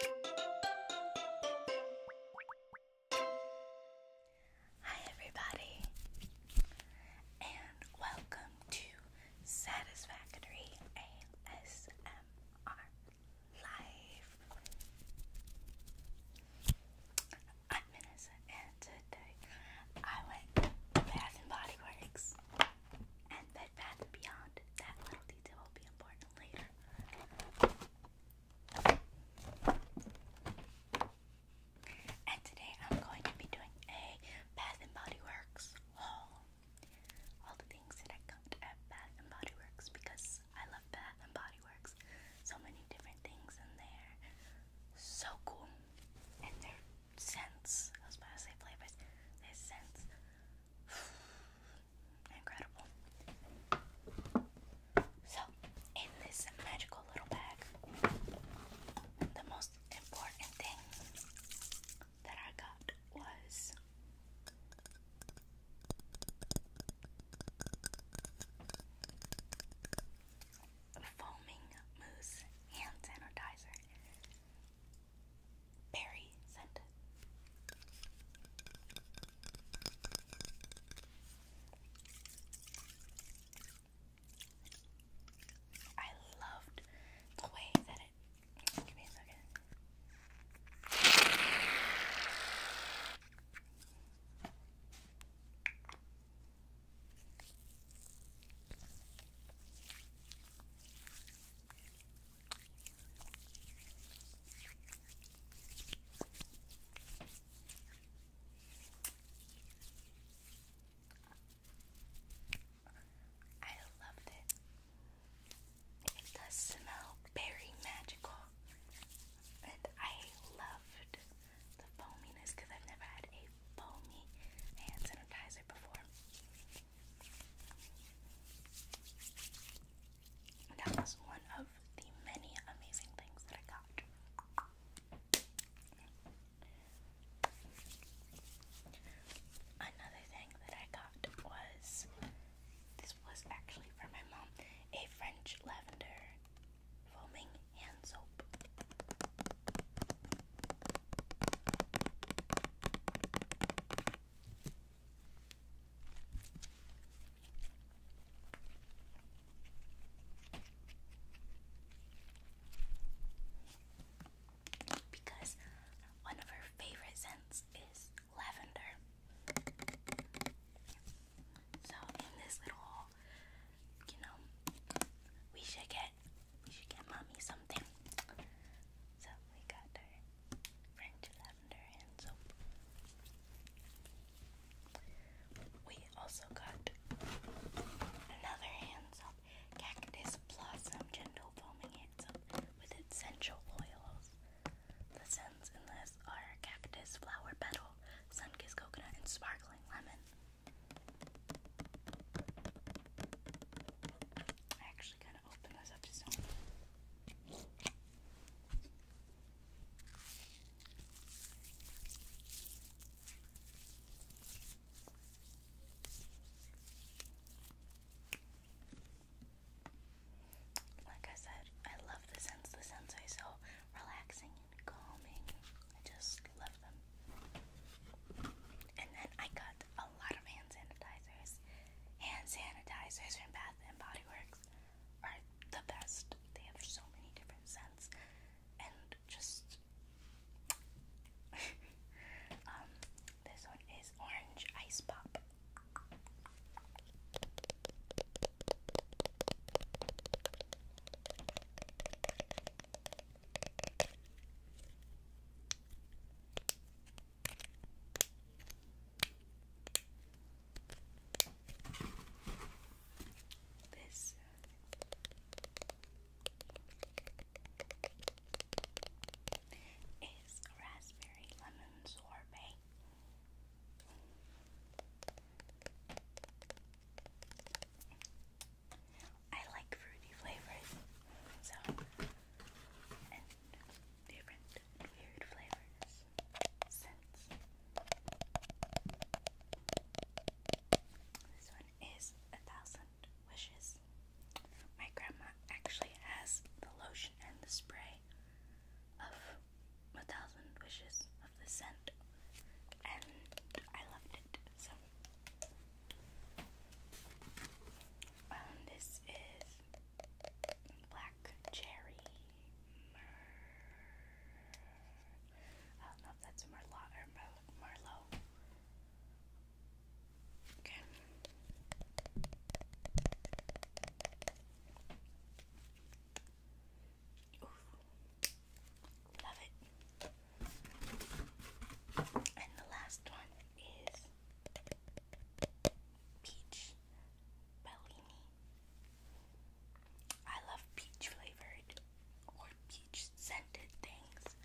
Hi, everybody, and welcome to Satisfactory ASMR Live. I'm Vanessa, and today I went to Bath and Body Works and Bed Bath Beyond. That little detail will be important later. And today I'm going to be doing a Bath and Body Works haul. All the things that I got at Bath and Body Works because I love Bath and Body Works. So many different things in there. So cool. And their scents. I was about to say flavors. Their scents Incredible. So, in this magical little bag, the most important thing that I got was foaming mousse hand sanitizer berry scent. I loved the way that it. Give me a second. I loved it. It does smell very magical. And I loved the foaminess because I've never had a foamy hand sanitizer before. That was one of the many amazing things that I got. Another thing that I got was this was actually for my mom a French lavender foaming hand soap. Because one of her favorite scents is lavender. So, in this little you know, we should get we should get mommy something. So we got her French lavender hand soap. We also got another hand soap, Cactus Blossom Gentle Foaming Hand Soap with essential oils. The scents in this are cactus, flower petal, sun kissed coconut, and sparkling lemon. I actually kind of opened this up to Like I said, I love the scents. The scents are so relaxing calming. I just love them. And then I got a lot of hand sanitizers. Hand sanitizers from Bath and Body Works are the best. They have so many different scents and just um, this one is orange ice pop. This is raspberry lemon sorbet. I like fruity flavors, so different weird flavors, scents. This one is a thousand wishes. My grandma actually has the lotion and the spray of a thousand wishes of the scent, and I loved it. So, um, this is black cherry. I don't know if that's Merlot or Merlot. Okay. Oof. Love it. And the last one is peach bellini. I love peach flavored or peach scented things.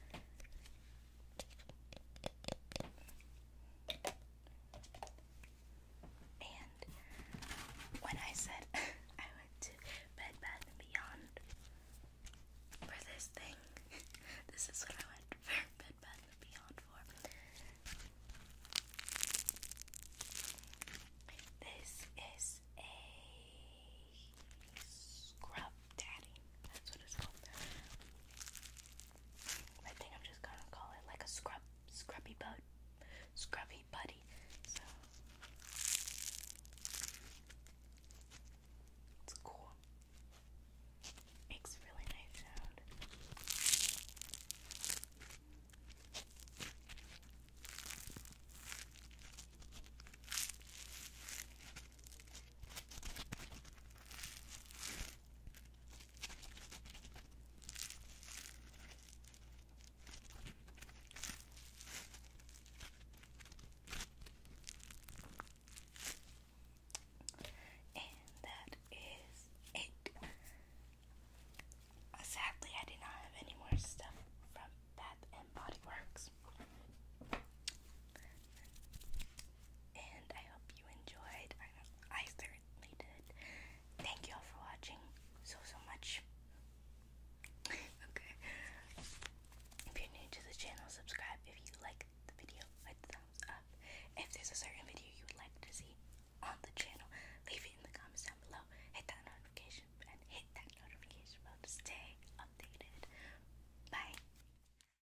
And when I said I went to Bed Bath and Beyond for this thing, this is what I went for Bed Bath Beyond for. This is a scrub daddy. That's what it's called. I think I'm just gonna call it like a scrub Scrubby Bud. Scrubby Buddy. So it's cool. Makes really nice sound. And that is it. Uh, sadly, I did not have any more stuff from Bath and Body Works and I hope you enjoyed. I, certainly did. Thank you all for watching so, so much. okay. If you're new to the channel, subscribe. If you like the video, like the thumbs up. If there's a certain video you would like to see on the channel, leave it in the comments down below. Hit that notification and hit that notification bell to stay updated. Bye.